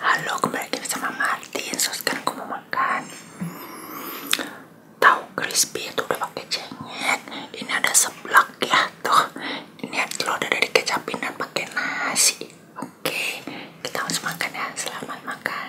Halo, kembali lagi bersama Martin. So aku mau makan tahu crispy itu udah pakai cengek. Ini ada seblak ya tuh. Ini telur udah dari kecapin dan pakai nasi. Oke, kita harus makan ya. Selamat makan.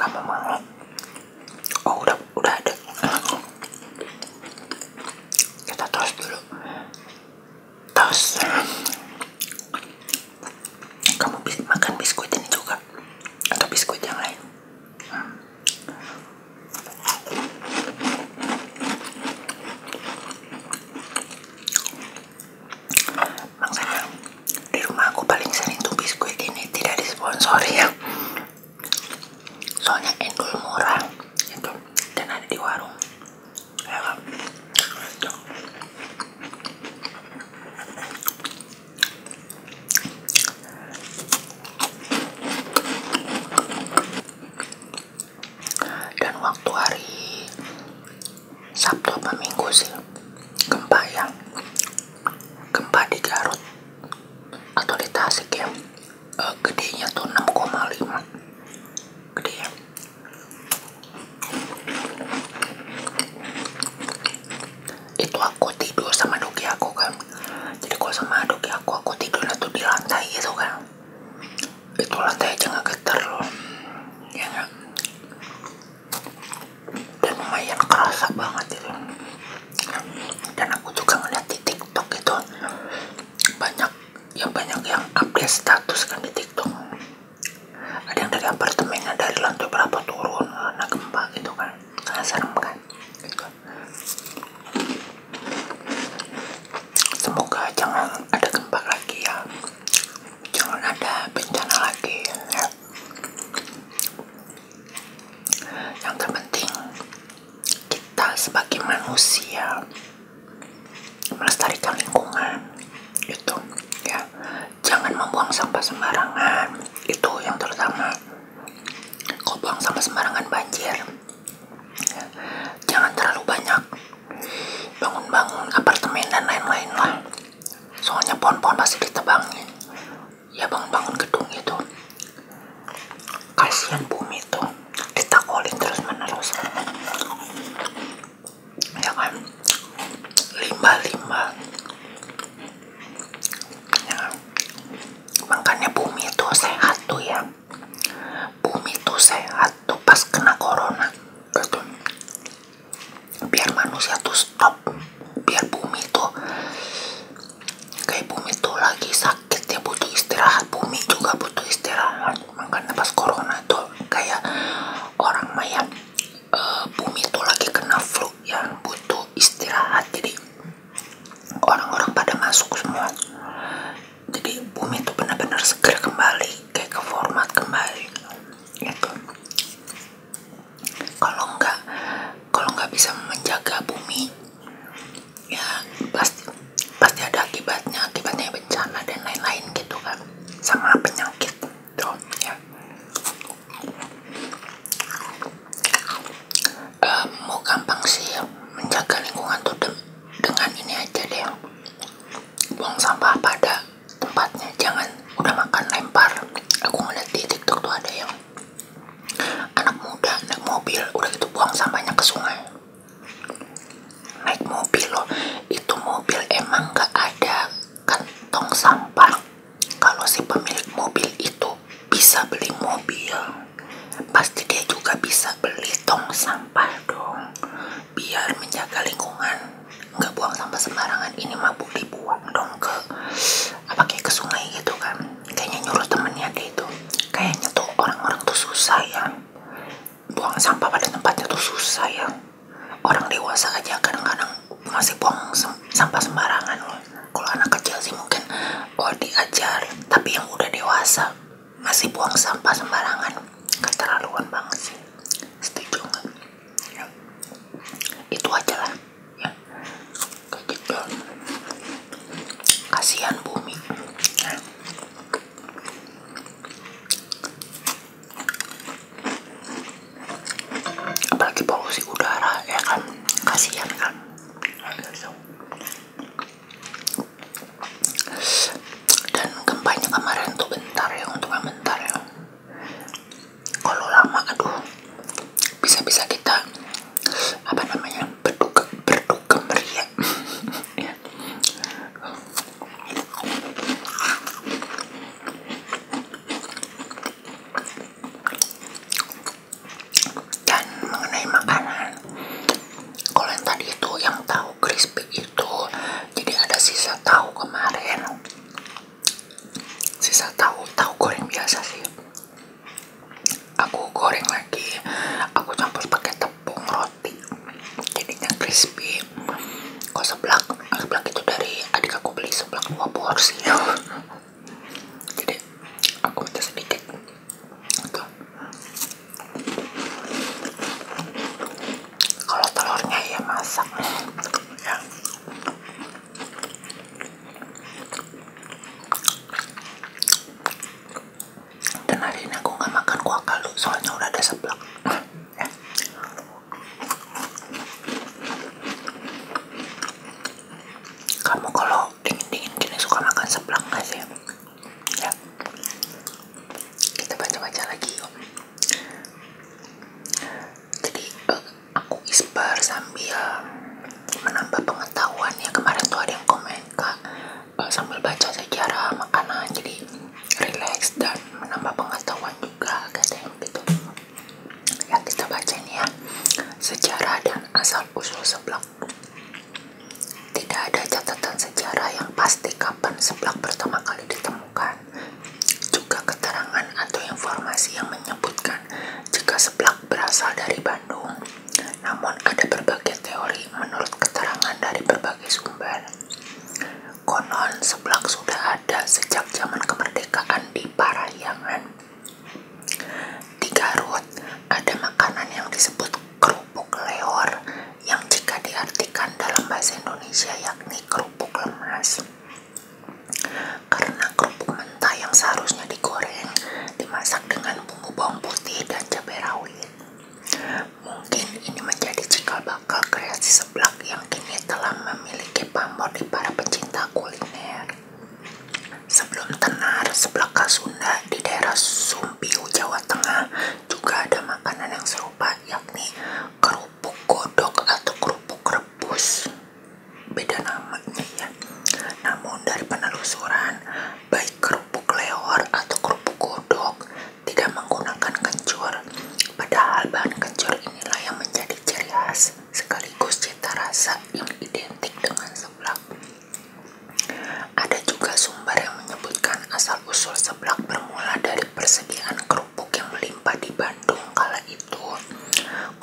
kamu mau oh udah udah deh kita terus dulu terus kamu makan biskuit ini juga atau biskuit yang lain Makanya di rumah aku paling sering tuh biskuit ini tidak disponsori ya. Soalnya endul murah itu dan ada di warung. Ya, dan waktu hari Sabtu apa Minggu sih gempa yang gempa di Garut atau di Tasik ya eh, gedenya tuh 6,5 gede ya itu aku tidur sama doki aku kan jadi kalau sama aduk ya aku aku tidurnya tuh di lantai gitu kan itu lantai aja nggak getar loh ya gak? dan lumayan kerasa banget itu dan aku juga ngeliat di tiktok itu banyak yang banyak yang update status kan di tiktok ada yang dari apartemennya dari lantai berapa turun nah gempa gitu kan karena serem kan Semoga jangan ada gempa lagi ya. Jangan ada bencana lagi ya. Yang terpenting kita sebagai manusia melestarikan lingkungan itu ya. Jangan membuang sampah sembarangan. Itu yang terutama. Kau buang sampah sembarangan banjir jangan terlalu banyak bangun-bangun apartemen dan lain-lain lah soalnya pohon-pohon pasti ditebangin ya bangun-bangun gedung itu kasihan bumi itu ditakolin terus menerus ya kan limbah-limbah ya kan? makanya bumi itu sehat tuh ya bumi itu sehat tuh pas kena corona gitu biar manusia tuh stop biar bumi tuh kayak bumi tuh lagi sakit ya butuh istirahat bumi juga butuh istirahat makanya pas corona tuh kayak orang maya eh, bumi tuh lagi kena flu yang butuh istirahat jadi orang-orang pada masuk semua jadi bumi itu benar-benar segera kembali kayak ke format kembali gitu kalau nggak kalau nggak bisa menjaga bumi ya pasti pasti ada akibatnya akibatnya bencana dan lain-lain gitu kan sama penyakit tuh ya uh, mau gampang sih ya, menjaga lingkungan tuh dengan ini aja deh buang sampah pada tempatnya jangan udah makan lempar aku ngeliat di tiktok tuh ada yang anak muda naik mobil udah gitu buang sampahnya ke sungai naik mobil loh itu mobil emang gak ada kantong sampah kalau si pemilik mobil itu bisa beli mobil pasti dia juga bisa beli tong sampah dong biar menjaga lingkungan nggak buang sampah sembarangan ini mah boleh dibuang dong ke apa kayak ke sungai gitu kan kayaknya nyuruh temennya dia itu kayaknya tuh orang-orang tuh susah ya buang sampah pada tempatnya tuh susah ya orang dewasa aja kadang-kadang masih buang sampah sembarangan loh kalau anak kecil sih mungkin oh diajar tapi yang udah dewasa masih buang sampah sembarangan keterlaluan banget sih setuju nggak ya. itu aja lah ya gitu kasihan bumi ya. apalagi polusi udara ya kan kasihan kan dan gempanya kemarin tuh bentar ya untuk bentar ya kalau lama aduh bisa-bisa kita apa namanya berduka berduka meriah ya dan mengenai makanan kalau yang tadi itu yang tahu crispy itu jadi ada sisa tahu kemarin sisa tahu tahu goreng biasa sih aku goreng lagi aku campur pakai tepung roti jadinya crispy kalau seblak seblak itu dari adik aku beli seblak dua porsi jadi aku tes sedikit itu kalau telurnya ya masak ya dan hari ini aku nggak makan kuah kaldu soalnya udah ada seblak ya kamu kalau dingin-dingin gini suka makan seblak gak sih? ya kita baca-baca lagi yuk jadi eh, aku isbar sambil menambah pengetahuan ya kemarin tuh ada yang komen kak eh, sambil baca sejarah makanan jadi relax dan menambah pengetahuan juga katanya gitu yang kita baca ini ya sejarah dan asal usul seblak tidak ada catatan sejarah yang pasti kapan seblak pertama kali ditemukan juga keterangan atau informasi yang menyebutkan jika seblak berasal dari Bandung namun ada berbagai teori menurut keterangan dari berbagai sumber konon seblak sudah ada sejak zaman kemerdekaan di Parahyangan. Di Garut ada makanan yang disebut kerupuk leor yang jika diartikan dalam bahasa Indonesia yakni kerupuk lemas. Karena kerupuk mentah yang seharusnya digoreng dimasak dengan bumbu bawang putih dan cabai rawit. Mungkin ini menjadi cikal bakal kreasi seblak yang kini telah memiliki pamor di para pencinta kuliner. Sebelum tenar, Khas Sunda di daerah Sumpiu, Jawa Tengah juga ada makanan yang serupa yakni kerupuk godok atau kerupuk rebus. Beda namanya ya. Namun dari penelusuran, baik kerupuk leor atau kerupuk godok tidak menggunakan kencur. Padahal bahan kencur inilah yang menjadi ciri khas sekaligus cita rasa yang identik dengan seblak. Ada juga sumber yang menyebutkan asal-usul seblak bermula dari persediaan kerupuk yang melimpah di Bandung kala itu.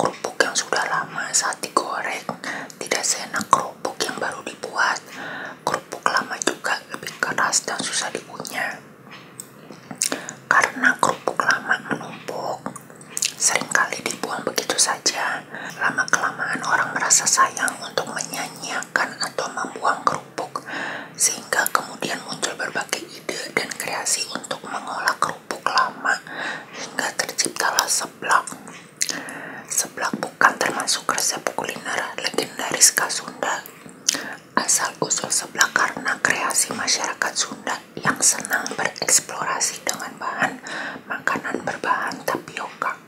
Kerupuk yang sudah lama saat digoreng tidak seenak kerupuk yang baru dibuat. Kerupuk lama juga lebih keras dan susah dikunyah. Karena kerupuk lama menumpuk, Seringkali dibuang begitu saja. Lama-kelamaan orang merasa sayang untuk menyanyiakan atau membuang kerupuk, sehingga kemudian muncul berbagai ide dan kreasi untuk mengolah kerupuk lama hingga terciptalah seblak. Seblak bukan termasuk resep kuliner legendaris khas Sunda. Asal usul seblak karena kreasi masyarakat Sunda yang senang bereksplorasi dengan bahan makanan berbahan tapioka.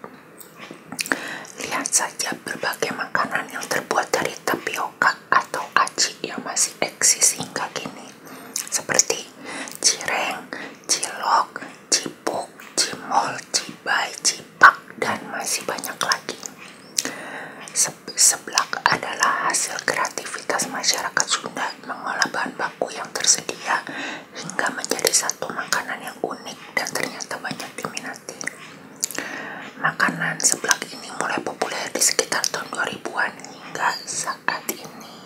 Lihat saja berbagai makanan yang terbuat dari tapioka atau aci yang masih eksis hingga kini, seperti cireng, cilok, cipuk, cimol, cibai, cipak, dan masih banyak lagi seblak adalah hasil kreativitas masyarakat Sunda mengolah bahan baku yang tersedia hingga menjadi satu makanan yang unik dan ternyata banyak diminati. Makanan seblak ini mulai populer di sekitar tahun 2000-an hingga saat ini.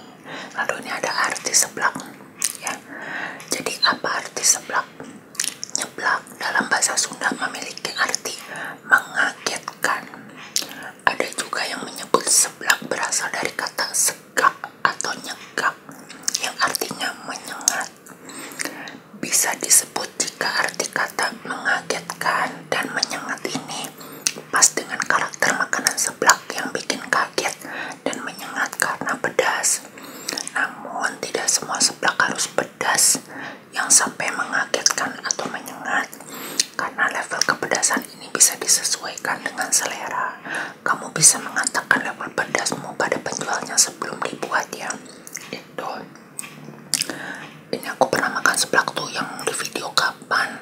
Lalu ini ada arti seblak ya. Jadi apa arti seblak? Nyeblak dalam bahasa Sunda memiliki arti mengagetkan ada juga yang menyebut seblak berasal dari kata segak atau nyegak yang artinya menyengat. Bisa disebut jika arti kata mengagetkan dan menyengat ini pas dengan karakter makanan seblak yang bikin kaget dan menyengat karena pedas. Namun tidak semua seblak harus pedas yang sampai mengagetkan atau menyengat. Karena level kepedasan ini bisa disesuaikan dengan selera, kamu bisa mengatakan level pedasmu pada penjualnya sebelum dibuat ya. Itu. Ini aku pernah makan seblak tuh yang di video kapan?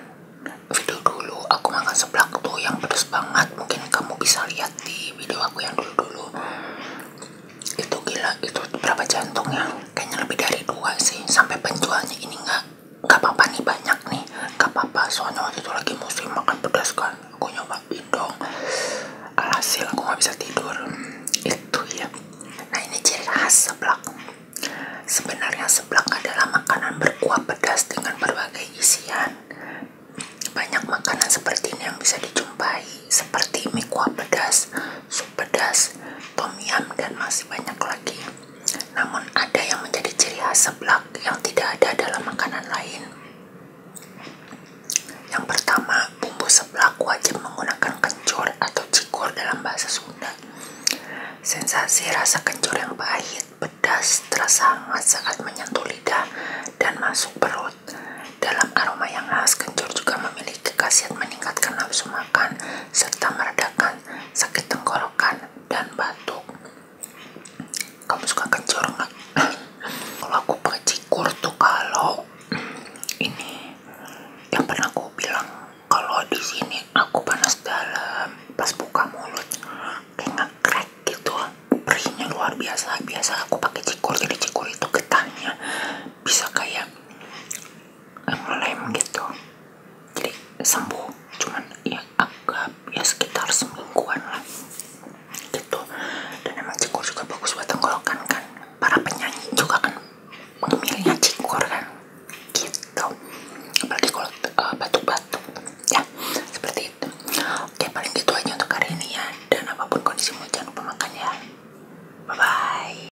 Video dulu aku makan seblak tuh yang pedas banget. Mungkin kamu bisa lihat di video aku yang dulu-dulu. Itu gila, itu berapa jantungnya? Kayaknya lebih dari dua sih. Sampai penjualnya ini nggak nggak apa-apa nih banyak nih nggak apa-apa soalnya waktu itu lagi musim makan pedas kan aku nyoba bindong alhasil aku nggak bisa tidur hmm, itu ya nah ini ciri khas seblak sebenarnya seblak adalah makanan berkuah pedas dengan berbagai isian banyak makanan seperti ini yang bisa dijumpai seperti mie kuah pedas pedas, tom yum, dan masih banyak lagi. Namun ada yang menjadi ciri khas seblak yang tidak ada dalam makanan lain. Yang pertama, bumbu seblak wajib menggunakan kencur atau cikur dalam bahasa Sunda. Sensasi rasa kencur yang pahit, pedas, terasa sangat saat menyentuh lidah dan masuk perut. Dalam aroma yang khas, kencur juga memiliki khasiat meningkatkan nafsu makan serta meredakan sakit tenggorokan dan batuk. Kamu suka kencur nggak? kalau aku pakai cikur tuh kalau ini yang pernah aku bilang kalau di sini aku panas dalam pas buka mulut kayak crack gitu perihnya luar biasa biasa aku pakai cikur jadi cikur itu getahnya bisa kayak ngelem gitu jadi sembuh cuman ya agak ya sekitar semingguan lah gitu dan emang cikgur juga bagus buat tenggorokan kan para penyanyi juga kan memilihnya cikgur kan gitu apalagi kalau uh, eh, batu batuk ya seperti itu oke paling gitu aja untuk hari ini ya dan apapun kondisimu jangan lupa makan ya bye bye